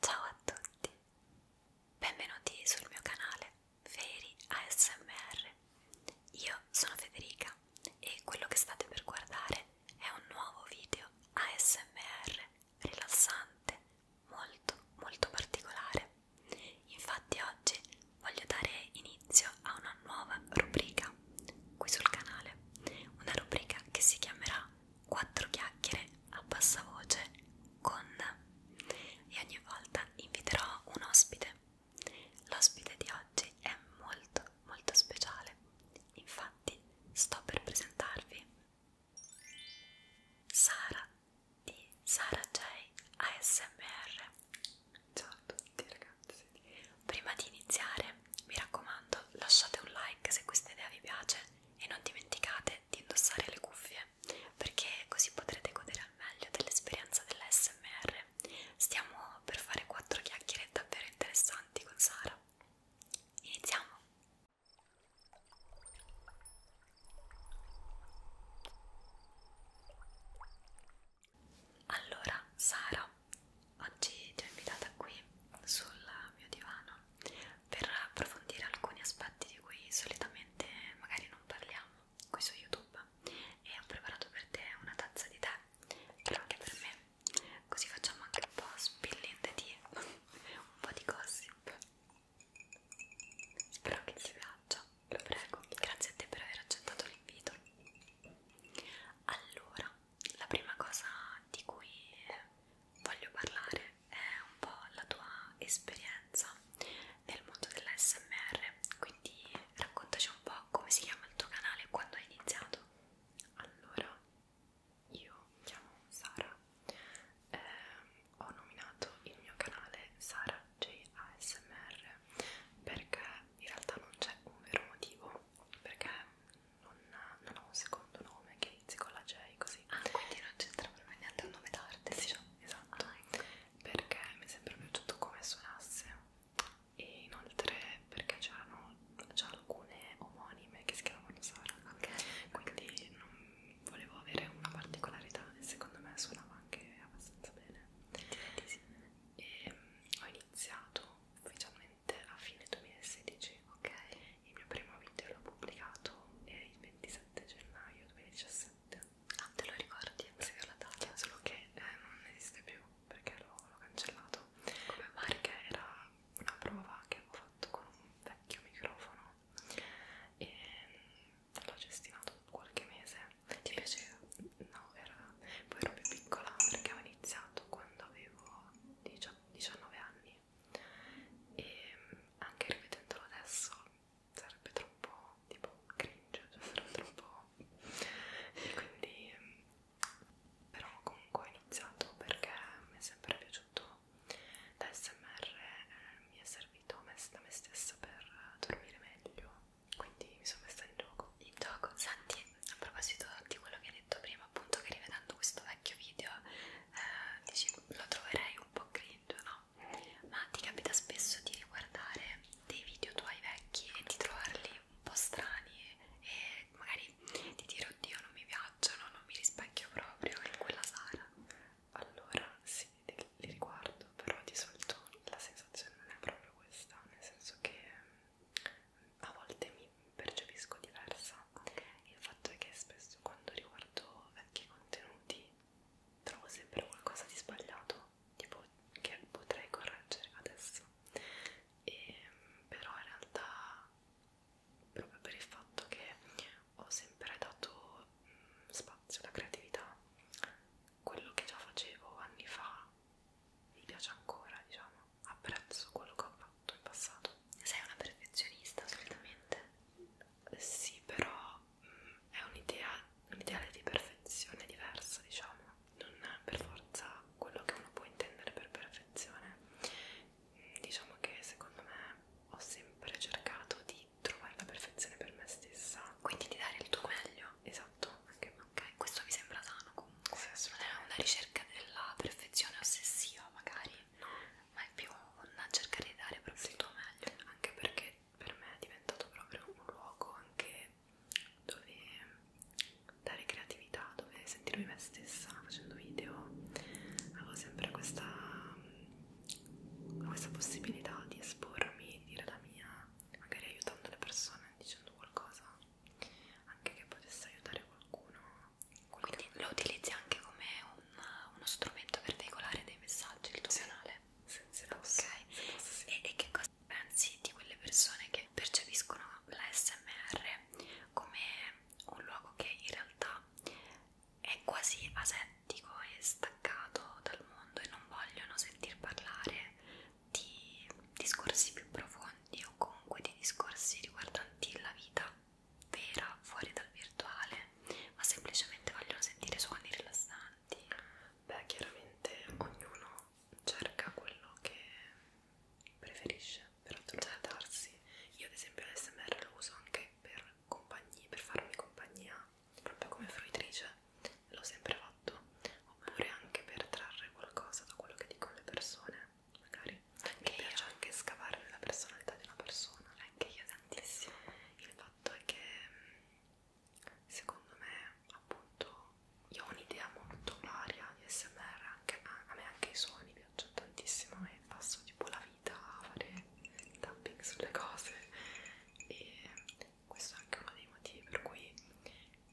Ciao a tutti, benvenuti sul mio canale Feri ASMR. Io sono Federica e quello che state per guardare è un nuovo video ASMR rilassante, molto molto particolare. Infatti oggi voglio dare inizio a una nuova rubrica qui sul canale, una rubrica che si chiamerà quattro chiacchiere a bassa voce con e ogni volta inviterò un ospite. L'ospite di oggi è molto molto speciale. Infatti sto per presentarvi Sara di Sara J ASMR. Ciao a tutti ragazzi. Prima di iniziare, mi raccomando, lasciate un like se questa idea vi piace e non dimenticate di indossare le cuffie perché così potrete godere al meglio dell'esperienza dell'ASMR stiamo per fare quattro chiacchiere davvero interessanti con Sara iniziamo allora Sara oggi ti ho invitata qui sul mio divano per approfondire alcuni aspetti di cui solitamente magari non parliamo qui su YouTube e ho preparato per te una tazza di tè però anche per me così facciamo anche un po' spillente di un po' di gossip spero che ti piaccia lo prego grazie a te per aver accettato l'invito allora la prima cosa di cui voglio parlare eh, un po' la tua esperienza nel mondo dell'ASMR, quindi raccontaci un po' come si chiama il tuo canale e quando hai iniziato. Allora, io mi chiamo Sara, eh, ho nominato il mio canale Sara JASMR perché in realtà non c'è un vero motivo, perché non, non ho un secondo nome che inizi con la J così. Ah, quindi non c'entra proprio niente un nome d'arte. Sì, diciamo. esatto. Ah, ecco. Perché mi è sempre piaciuto come suonasse e inoltre perché c'erano già alcune omonime che si chiamavano Sara. Ok. Quindi non volevo avere una particolarità e secondo me suonava anche abbastanza bene. E, um, ehm, ho iniziato ufficialmente a fine 2016 Ok. Il mio primo video l'ho pubblicato eh, il 27 gennaio 2017. Ah, te lo ricordi? Sì, la data, solo che eh, non esiste più perché l'ho cancellato. Come mai? Perché era una prova che avevo fatto con un vecchio microfono e mm, l'ho gestinato qualche mese. Ti piaceva? No, era, poi ero più piccola perché avevo iniziato quando avevo 19 anni e mm, anche rivedendolo adesso sarebbe troppo tipo cringe, cioè sarebbe troppo e quindi mm, però comunque ho iniziato perché mi è sempre piaciuto l'ASMR eh, mi è servito da me stessa per dormire meglio quindi mi sono messa in gioco in gioco, Santi, a proposito di quello che hai detto prima appunto che rivedendo questo vecchio video eh, dici, lo troverei un po' cringe, no? Ma ti capita spesso di riguardare dei video tuoi vecchi e di trovarli un po' strani e magari di dire oddio non mi piacciono, non mi rispecchio proprio in quella sala? Allora sì, li riguardo, però di solito la sensazione non è proprio questa, nel senso che mm, a volte mi percepisco diversa Okay. Il fatto è che spesso quando riguardo vecchi contenuti trovo sempre qualcosa di sbagliato, tipo che potrei correggere adesso, e, ehm, però in realtà proprio per il fatto che ho sempre dato mh, mm, spazio alla creatività, quello che già facevo anni fa mi piace ancora, diciamo, apprezzo quello che ho fatto in passato. Sei una perfezionista, assolutamente? sì, però mh, mm, è un'idea, un ideale di perfezione diverso, diciamo, non è per forza quello che uno può intendere per perfezione. Mh, mm, diciamo che secondo me ho sempre cercato di trovare la perfezione per me stessa, quindi di dare il tuo meglio. Esatto, anche ok, questo mi sembra sano comunque, sì, non è una ricerca della perfezione ossessiva magari, ma è più a cercare di dare proprio sì. il tuo meglio anche perché per me è diventato proprio un luogo anche dove dare creatività dove sentirmi me stessa facendo video avevo sempre questa, questa possibilità di espormi dire la mia magari aiutando le persone dicendo qualcosa anche che potesse aiutare qualcuno quindi lo utilizzi anche come un, uno strumento per veicolare dei messaggi il tuo sì. canale sì, se posso, okay. se posso, sì. e, e che cosa pensi di quelle persone che percepiscono la SMR come un luogo che in realtà è quasi asettico e staccato dal mondo e non vogliono sentir parlare di discorsi più profondi o comunque di discorsi riguardanti la vita vera, fuori dal virtuale, ma semplicemente vogliono sentire suoni rilassanti. Beh, chiaramente ognuno cerca quello che preferisce per addormentarsi. Io ad esempio l'SMR lo uso anche per, per farmi compagnia, proprio come fruitrice, l'ho sempre fatto, oppure anche per trarre qualcosa da quello che dicono le persone, magari. Anche Mi piace io. anche scavare nella personalità di una persona anche io tantissimo. Il fatto è che mm, secondo me, appunto, io ho un'idea molto varia di SMR, anche, a me anche i suoni piacciono tantissimo e passo tipo la vita a fare tapping sulle cose e questo è anche uno dei motivi per cui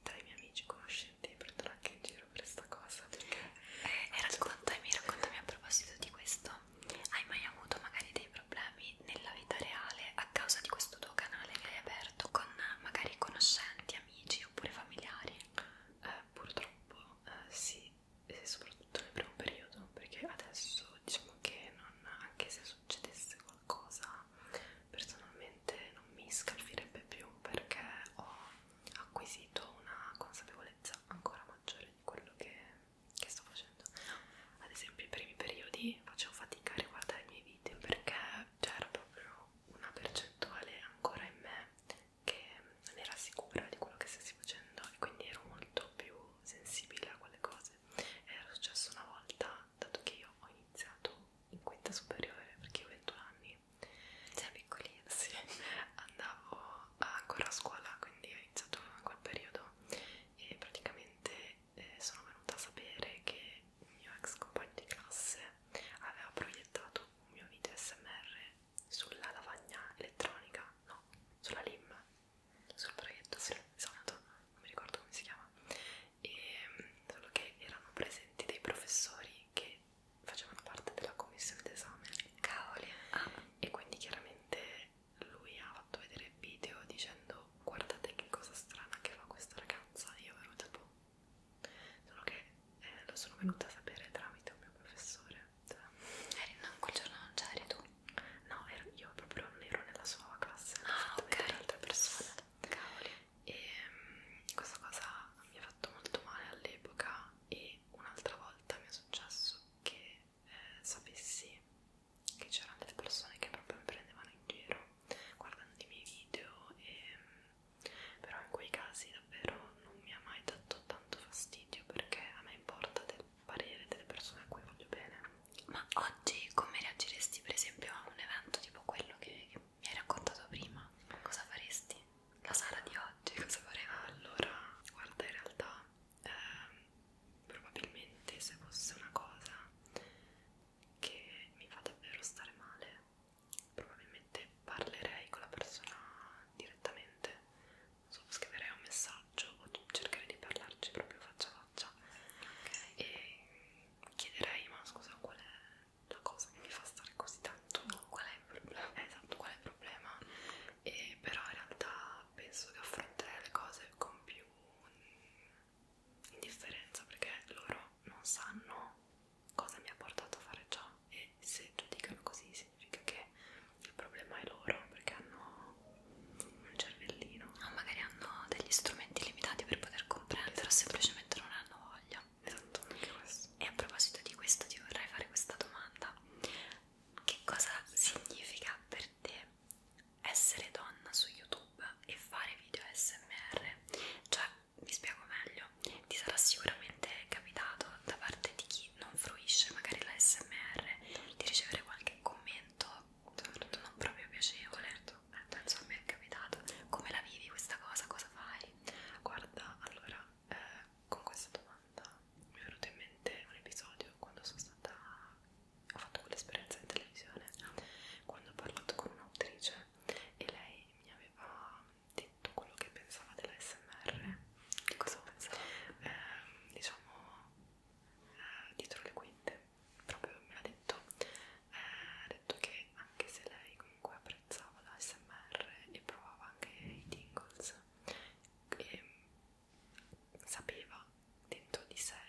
tra i miei amici conoscenti mi prendono anche in giro per questa cosa. Perché eh, e raccontami, raccontami a proposito di questo hai mai avuto magari dei problemi nella vita reale a causa di questo tuo canale che hai aperto con magari conoscenti, amici oppure familiari? Eh, purtroppo eh, sì, e soprattutto nel primo periodo perché adesso diciamo che non, anche se succedesse qualcosa personalmente non mi scalfirebbe più perché ho acquisito una consapevolezza ancora maggiore di quello che che sto facendo ad esempio i primi periodi facevo fatica a riguardare i miei video perché c'era proprio una percentuale ancora in me che non era sicura di quello che stessi facendo e quindi ero molto più sensibile a quelle cose era successo una volta dato che io ho iniziato in quinta superiore perché ho 21 anni sei piccolina sì andavo ancora a scuola quindi iniziato in quel periodo e praticamente eh, sono venuta a sapere che il mio ex compagno di classe aveva proiettato un mio video smr sulla lavagna elettronica, no, sulla LIM, sul proietto, sì, esatto, non mi ricordo come si chiama, e mm, solo che erano presenti dei professori che facevano parte della commissione d'esame, cavoli, ah. e quindi chiaramente lui ha fatto vedere il video dicendo guardate che cosa strana che fa questa ragazza io ero tipo solo che eh, lo sono venuta a sapere tramite un mio professore cioè, eri non quel giorno non c'eri tu? no ero, io proprio non ero nella sua classe ah ok altre persone cavoli e um, questa cosa mi ha fatto molto male all'epoca e un'altra volta mi è successo che eh, sapessi che c'erano delle persone che proprio mi prendevano in giro guardando i miei video e, ehm, però in quei casi davvero non mi ha mai dato tanto fastidio perché a me importa del parere delle persone a cui voglio bene ma oggi come reagiresti per esempio a un evento tipo quello che, che mi hai raccontato prima? cosa faresti? la Sara di oggi cosa faremo? allora guarda in realtà eh, probabilmente se fosse una cosa che mi fa davvero stare male, probabilmente parlerei con la persona direttamente, so, scriverei un messaggio o cercherei di parlarci proprio faccia a faccia okay. e chiederei ma scusa qual è la cosa che mi fa stare così tanto, qual è il problema? Esatto, qual è il problema? e però in realtà penso che affronterei le cose con più indifferenza perché loro non sanno cosa mi ha portato a fare ciò e se giudicano così significa che il problema è loro perché hanno un cervellino o magari hanno degli strumenti limitati per poter comprendere esatto. o semplicemente non hanno voglia esatto anche questo e a proposito di questo ti vorrei fare questa domanda che cosa significa per te essere donna su YouTube e fare video ASMR, cioè vi spiego meglio, ti sarà sicuramente capitato da parte di chi non fruisce magari la SMR di ricevere qualche commento certo. non proprio piacevole. Certo. Eh, penso a me è capitato. Come la vivi questa cosa? Cosa fai? Guarda, allora, eh, con questa domanda domanda mi è venuto in mente un episodio quando sono stata ho fatto quell'esperienza in televisione quando ho parlato con un'autrice e lei mi aveva detto quello che pensava dell'ASMR di cosa pensava? Eh, diciamo eh, dietro le quinte proprio me l'ha detto eh, ha eh, detto che anche se lei comunque apprezzava l'ASMR e provava anche i tingles e ehm, sapeva dentro di sé,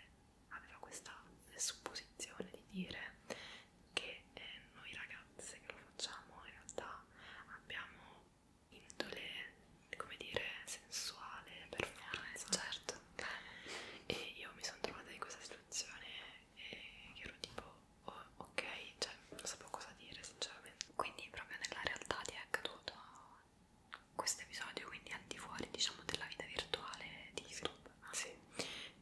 aveva questa supposizione di dire che eh, noi ragazze che lo facciamo in realtà abbiamo indole, come dire, sensuale, per forza. Certo. E io mi sono trovata in questa situazione eh, e ero tipo, oh, ok, cioè non sapevo cosa dire sinceramente. Quindi proprio nella realtà ti è accaduto questo episodio quindi al di fuori diciamo della vita virtuale di YouTube sì.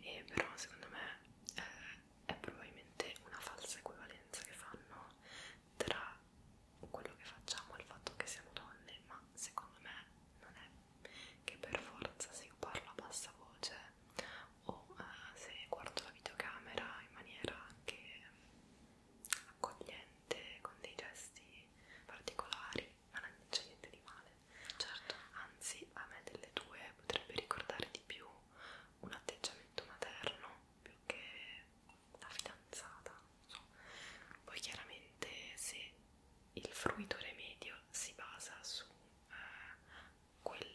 e però secondo me eh, è probabilmente una falsa equivalenza che fanno tra quello che facciamo e il fatto che siamo donne ma secondo me non è che per forza se io parlo a bassa voce o eh, se guardo la videocamera in maniera che accogliente, con dei gesti particolari, ma non c'è niente di male. Certo. Anzi, a me delle due potrebbe ricordare di più un atteggiamento materno più che la fidanzata. So. Poi chiaramente se il fruitore medio si basa su eh, quel,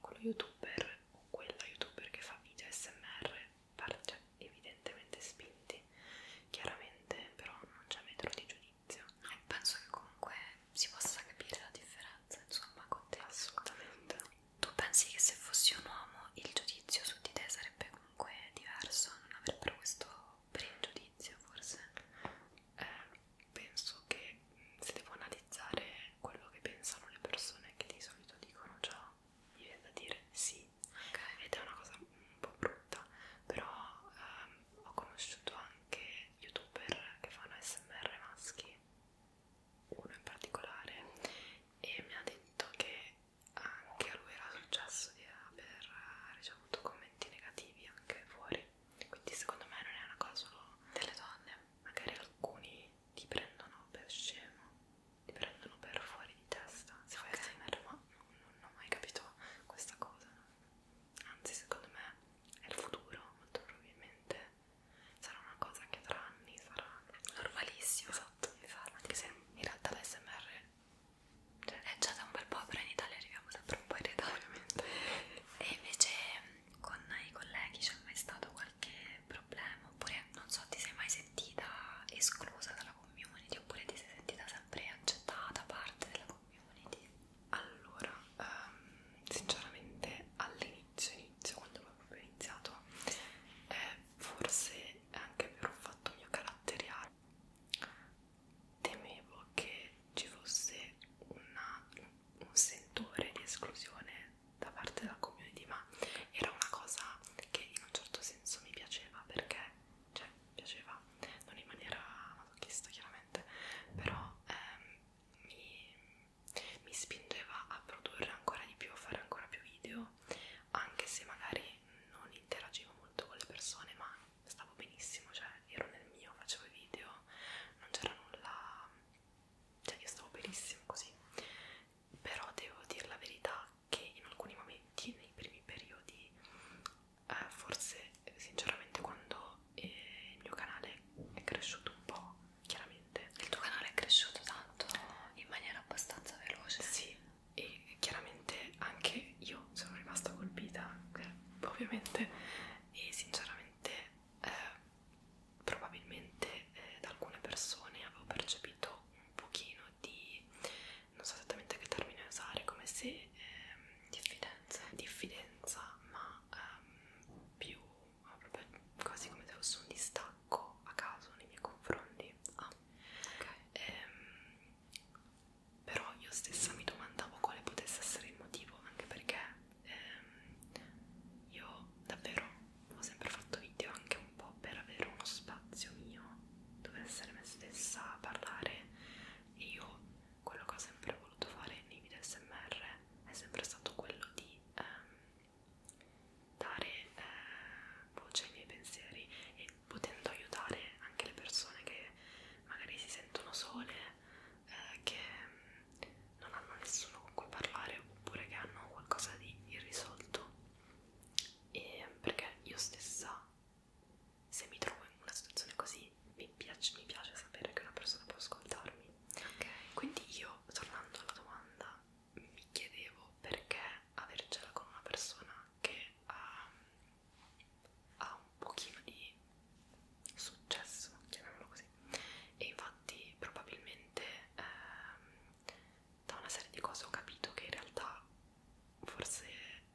quello youtuber o quella youtuber che fa video smr cioè, evidentemente spinti chiaramente però non c'è metro di giudizio no, penso che comunque si possa capire la differenza insomma con te assolutamente tu pensi che se fossi un uomo il giudizio su di te sarebbe comunque diverso non avrebbero questo pregiudizio forse eh, penso che se devo analizzare quello che pensano le persone che di solito dicono già mi viene da dire sì okay. ed è una cosa un po' brutta però ehm, ho conosciuto anche youtuber che fanno smr maschi uno in particolare e mi ha detto che anche a lui era successo di aver eh, ricevuto commenti negativi anche fuori quindi secondo me non è una cosa solo delle donne magari alcuni ti prendono per scemo ti prendono per fuori di testa se fai okay. ASMR ma non, non ho mai capito questa cosa anzi secondo me è il futuro molto probabilmente sarà una cosa che tra anni sarà normalissima esatto, esatto. anche se in realtà l'ASMR cioè, è già da un bel po' però in Italia arriviamo sempre un po' in ritardo e invece con i colleghi c'è mai stato qualche problema oppure non so ti sei mai sentita esclusa dalla community oppure ti sei sentita sempre sempre accettata da parte della community. Allora, um, sinceramente all'inizio, inizio, quando avevo proprio iniziato, eh, forse anche per un fatto mio caratteriale, temevo che ci fosse una, un sentore di esclusione da parte della community, ma era una cosa che in un certo senso mi piaceva perché cioè piaceva non in maniera masochista chiaramente però ehm, mi, mi spingeva a produrre ancora di più a fare ancora più video anche se magari non interagivo molto con le persone ma stavo benissimo cioè ero nel mio facevo i video non c'era nulla cioè io stavo benissimo così però devo dire la verità che in alcuni momenti, nei primi periodi, eh, forse sinceramente quando eh, il mio canale è cresciuto un po', chiaramente. Il tuo canale è cresciuto tanto in maniera abbastanza veloce. Sì, e chiaramente anche io sono rimasta colpita, eh, ovviamente, e sinceramente eh, probabilmente eh, da alcune persone avevo percepito un pochino di non so esattamente che termine usare, come se ehm, diffidenza, diffidenza ma ehm, più proprio quasi come se fosse un distacco a caso nei miei confronti. Ah, ok. Ehm, però io stessa mi domandavo quale potesse essere il motivo, anche perché ehm, io davvero ho sempre fatto video anche un po' per avere uno spazio mio dove essere me stessa a parlare e io quello che ho sempre voluto fare nei video smr è sempre stato quello di ehm, dare eh, voce ai miei pensieri e potendo aiutare anche le persone che magari si sentono sole eh, che ehm, non hanno nessuno con cui parlare oppure che hanno qualcosa di irrisolto e perché io stessa se mi trovo in una situazione così mi piace, mi piace sapere che una persona può ascoltarmi. Okay. Quindi io, tornando alla domanda, mi chiedevo perché avercela con una persona che ha, ha un pochino di successo, chiamiamolo così, e infatti probabilmente ehm, da una serie di cose ho capito che in realtà forse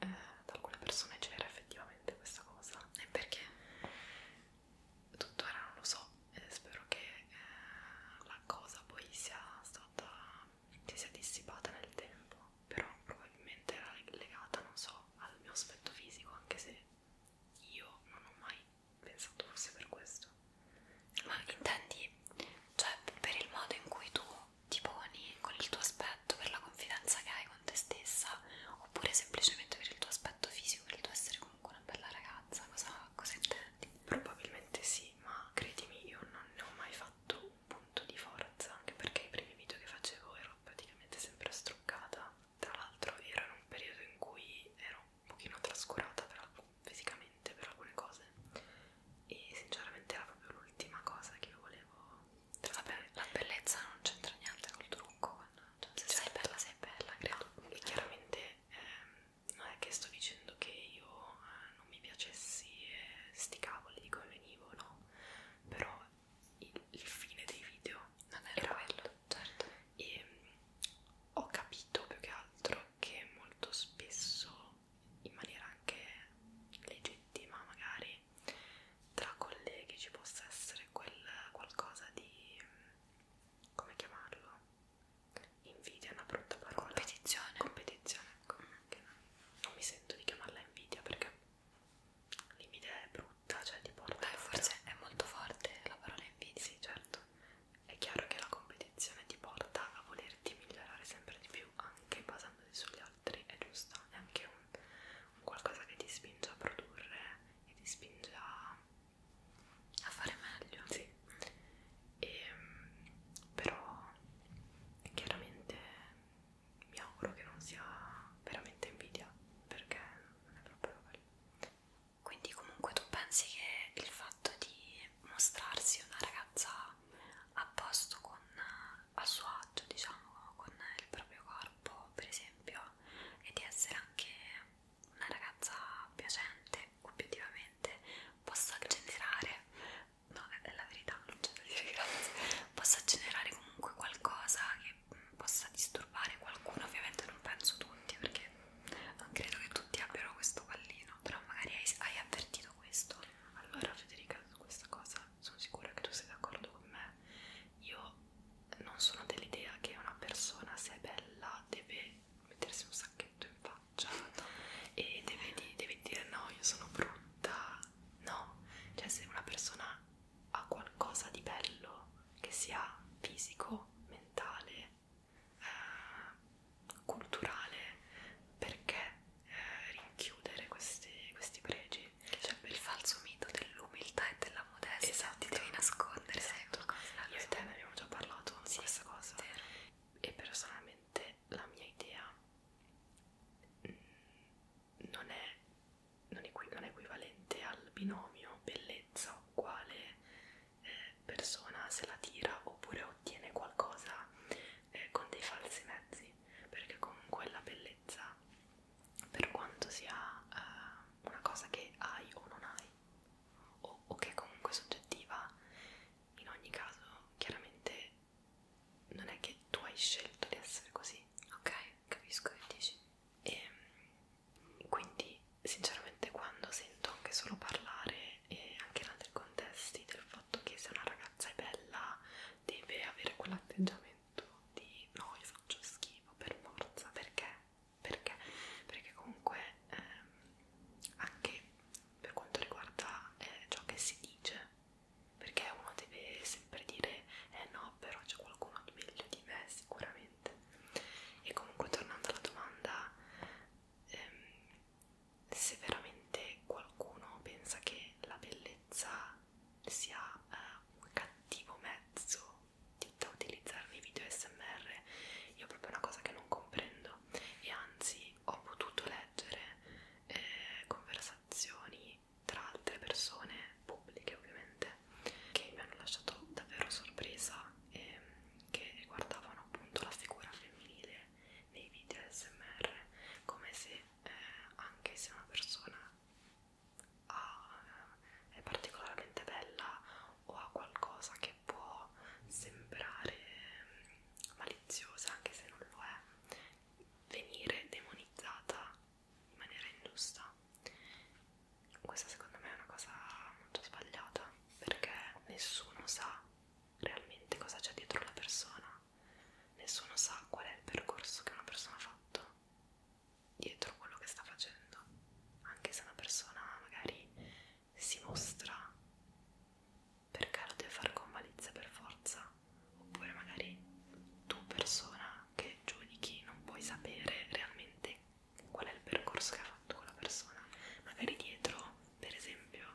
eh, da alcune persone c'era effettivamente questa cosa e perché tuttora non lo so e spero che eh, la cosa poi sia stata si sia dissipata nel tempo però probabilmente era legata non so al mio aspetto fisico anche se io non ho mai pensato fosse per questo ma intendi cioè per il modo in cui tu ti poni con il tuo aspetto per la confidenza che hai con te stessa oppure semplicemente per il tuo aspetto fisico, per il tuo essere comunque una bella ragazza, cosa, cosa intendi? Probabilmente sì, ma credimi io non ne ho mai fatto un punto di forza, anche perché i primi video che facevo ero praticamente sempre struccata, tra l'altro era in un periodo in cui ero un pochino trascurata per, fisicamente per alcune cose e sinceramente era proprio l'ultima cosa che io volevo Vabbè, la bellezza non c'entra niente col trucco cioè, se certo. sei bella sei bella credo no, e chiaramente ehm, non è che sto dicendo che io eh, non mi piacessi eh, sti cavoli di come venivo no però il, il fine dei video non era, era quello certo e mh, mm, ho capito più che altro che molto spesso in maniera anche legittima magari tra colleghi ci possa essere quel qualcosa di come chiamarlo invidia è una brutta parola competizione competizione ecco non mi sento di chiamarla invidia perché l'invidia è brutta cioè ti porta eh, forse è molto forte la parola invidia sì certo è chiaro che la competizione ti porta a volerti migliorare sempre di più anche basandoti sugli altri è giusto, è anche un, un qualcosa che ti spinge a produrre e ti spinge a, a fare meglio. Sì. E, ehm, però chiaramente mi auguro che non sia veramente invidia perché non è proprio bello. Quindi comunque tu pensi che il fatto di mostrarsi una ragazza a posto con a suo agio, diciamo, con il proprio corpo, per esempio, e di essere anche una ragazza piacente, obiettivamente, possa generare, no, è la verità, non c'è da dire grazie, possa generare comunque qualcosa che possa disturbare qualcuno, ovviamente non penso tutti, perché non credo che tutti abbiano questo pallino, però magari hai, hai avvertito questo. Allora Federica, su questa cosa sono sicura che tu sei d'accordo con me, io non sono dell'idea che una persona se è bella deve mettersi un sacchetto in faccia e deve, di, deve dire no io sono brutta, no, cioè se una persona ha qualcosa di bello che sia fisico, mentale, eh, culturale, perché eh, rinchiudere questi, questi pregi. C'è cioè, il falso mito dell'umiltà e della modestia, esatto. ti devi nascondere. Esatto. Cosa, Io so. e te ne abbiamo già parlato di sì, questa cosa. Vero. E personalmente la mia idea non è, non, equ non è equivalente al binomio bellezza uguale eh, persona se la tira oppure ottiene qualcosa eh, con dei falsi mezzi perché comunque la bellezza per quanto sia eh, una cosa che hai o non hai o, o che è comunque soggettiva in ogni caso chiaramente non è che tu hai scelto di essere così ok capisco che dici e ehm, quindi sinceramente quando sento anche solo parlare e anche in altri contesti del fatto che se una ragazza è bella deve avere quell'atteggiamento concetto di no io faccio schifo per forza perché? Perché? Perché comunque ehm, anche per quanto riguarda eh, ciò che si dice, perché uno deve sempre dire eh no, però c'è qualcuno di meglio di me sicuramente. E comunque tornando alla domanda, ehm, se veramente qualcuno pensa che la bellezza sia uh, un cattivo mezzo di, da utilizzare nei video smr io proprio è una cosa che non comprendo e anzi ho potuto leggere eh, conversazioni tra altre persone pubbliche ovviamente che mi hanno lasciato davvero sorpresa e che riguardavano appunto la figura femminile nei video smr come se eh, anche se una persona a, è particolarmente bella o a qualcosa che può sembrare maliziosa, anche se non lo è, venire demonizzata in maniera ingiusta. Questa secondo me è una cosa molto sbagliata perché nessuno sa realmente cosa c'è dietro la persona nessuno sa qual è il percorso che una persona ha fatto dietro quello che sta facendo, anche se una persona magari si mostra perché lo deve fare con malizia per forza, oppure magari tu persona che giudichi non puoi sapere realmente qual è il percorso che ha fatto quella persona, magari dietro per esempio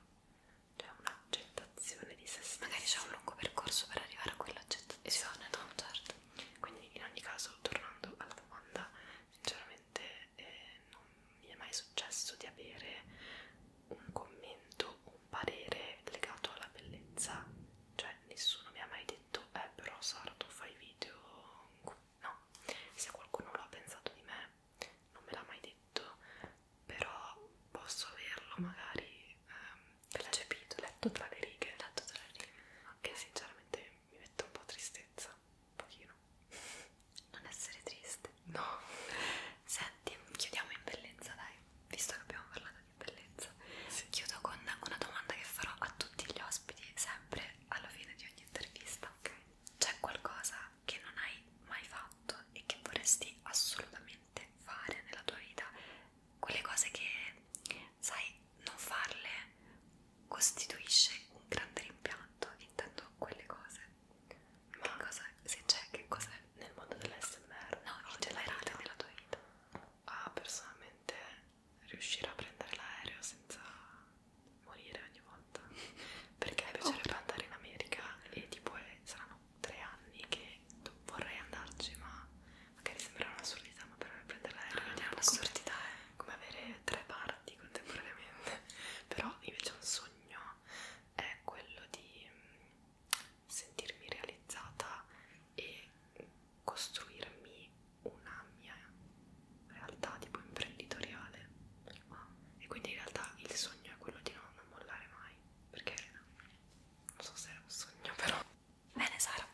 c'è cioè una gente realizzazione di se stessa. Magari c'è un lungo percorso per arrivare a quell'oggetto. Esatto, no? certo. Quindi in ogni caso, tornando alla domanda, sinceramente eh, non mi è mai successo di avere un commento, un parere legato alla bellezza. Cioè nessuno mi ha mai detto, eh però Sara tu fai video... No, se qualcuno lo ha pensato di me non me l'ha mai detto, però posso averlo magari... Ehm, Percepito, letto tra le righe. Letto tra le righe. Che okay. sinceramente mi mette un po' tristezza, un pochino. Non essere triste. No. Senti, chiudiamo in bellezza, dai. Visto che abbiamo parlato di bellezza, sì. chiudo con una domanda che farò a tutti gli ospiti, sempre alla fine di ogni intervista. Ok. C'è qualcosa che non hai mai fatto e che vorresti assolutamente veramente fare nella tua vita quelle cose che sai non farle costituisce un grande rimpianto intendo quelle cose ma che cosa, se c'è che cos'è nel mondo dell'SMR no in generale nella tua vita ah personalmente riuscire a prendere l'aereo senza morire ogni volta perché mi piacerebbe oh. andare in America e tipo eh, saranno tre anni che vorrei andarci, ma magari sembra un'assurdità, ma per prendere l'aereo ah, è un'assurdità, eh. è come avere tre parti contemporaneamente. Però invece un sogno è quello di mm, sentirmi realizzata e costruirmi una mia realtà tipo imprenditoriale wow. e quindi in realtà il sogno è quello di non, non mollare mai perché non so se è un sogno però Bene Sara,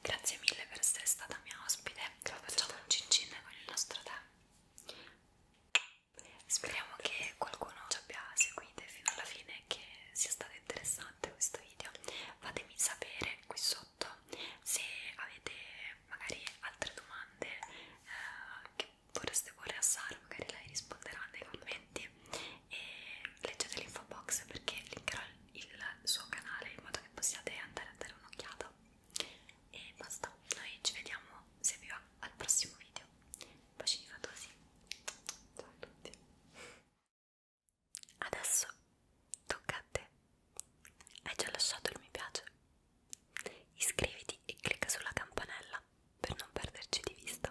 grazie mille per essere stata mia ospite. Grazie Facciamo un cincin con il nostro tè. Speriamo che qualcuno ci abbia seguite fino alla fine e che sia stato interessante questo video. Fatemi sapere qui sotto se avete magari altre domande eh, che vorreste porre a Sara, magari lei risponderà nei commenti e leggete l'info box perché linkerò il suo canale in modo che possiate andare a dare un'occhiata e basta, noi ci vediamo se vi va al prossimo video bacini fatosi ciao a tutti adesso tocca a te hai già lasciato il mi piace? iscriviti e clicca sulla campanella per non perderci di vista